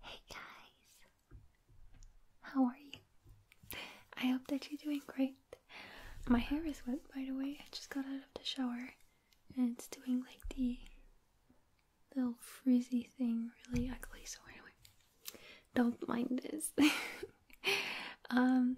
Hey guys, how are you? I hope that you're doing great. My hair is wet, by the way. I just got out of the shower and it's doing like the little frizzy thing really ugly so anyway don't mind this um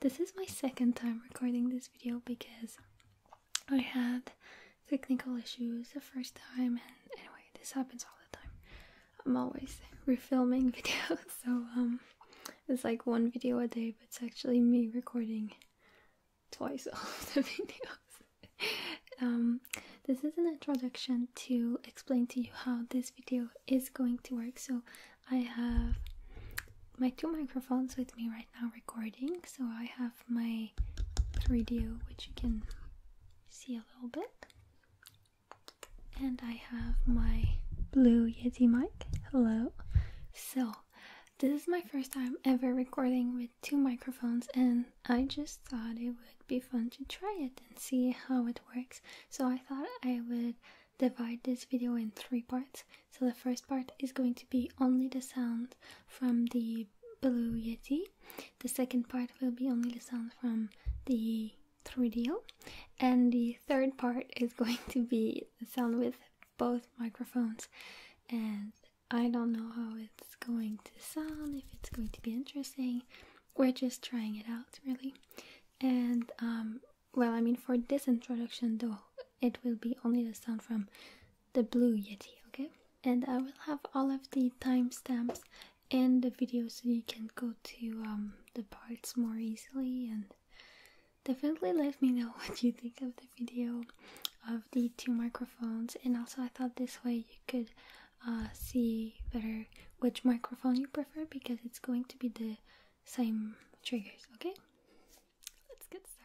this is my second time recording this video because i had technical issues the first time and anyway this happens all the time i'm always re-filming videos so um it's like one video a day but it's actually me recording twice of the videos. um, this is an introduction to explain to you how this video is going to work. So I have my two microphones with me right now recording. So I have my 3DO, which you can see a little bit. And I have my blue Yeti mic. Hello. So this is my first time ever recording with two microphones, and I just thought it would be fun to try it and see how it works. So, I thought I would divide this video in three parts. So, the first part is going to be only the sound from the Blue Yeti, the second part will be only the sound from the 3DO, and the third part is going to be the sound with both microphones and I don't know how it's going to sound, if it's going to be interesting. We're just trying it out, really. And, um, well, I mean, for this introduction, though, it will be only the sound from the Blue Yeti, okay? And I will have all of the timestamps in the video so you can go to um, the parts more easily and definitely let me know what you think of the video the two microphones, and also I thought this way you could uh, see better which microphone you prefer because it's going to be the same triggers, okay? Let's get started.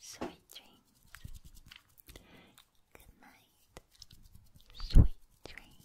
Sweet dreams. Good night. Sweet dreams.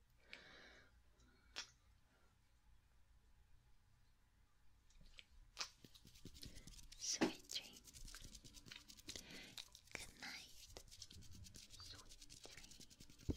Sweet dream. Good night. Sweet dream.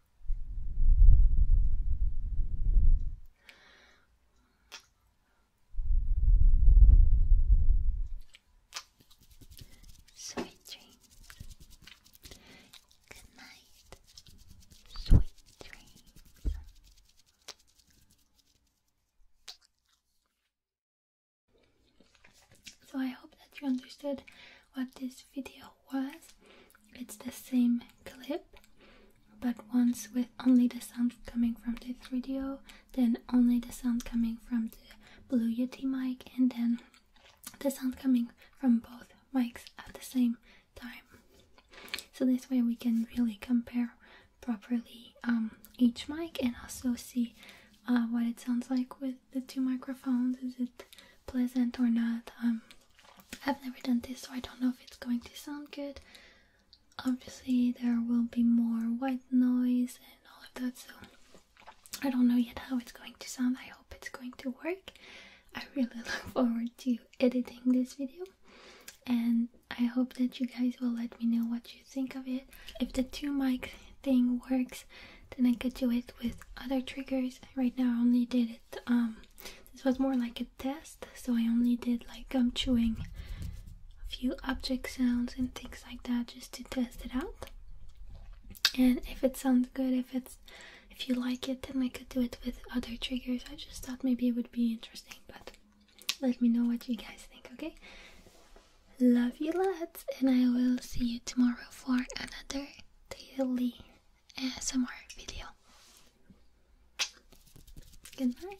Sweet dreams. Good night. Sweet dreams. So I hope that you understood what this video was. It's the same clip, but once with only the sound coming from the 3DO, then only the sound coming from the Blue Yeti mic, and then the sound coming from both mics at the same time. So this way we can really compare properly um, each mic and also see uh, what it sounds like with the two microphones. Is it pleasant or not? Um, I've never done this, so I don't know if it's going to sound good. Obviously, there will be more white noise and all of that, so I don't know yet how it's going to sound. I hope it's going to work. I really look forward to editing this video, and I hope that you guys will let me know what you think of it. If the two mic thing works, then I could do it with other triggers. Right now, I only did it. Um, this was more like a test, so I only did like gum chewing, a few object sounds, and things like that just to test it out. And if it sounds good, if it's if you like it, then I could do it with other triggers. I just thought maybe it would be interesting, but let me know what you guys think, okay? Love you lots, and I will see you tomorrow for another daily ASMR video. Good night.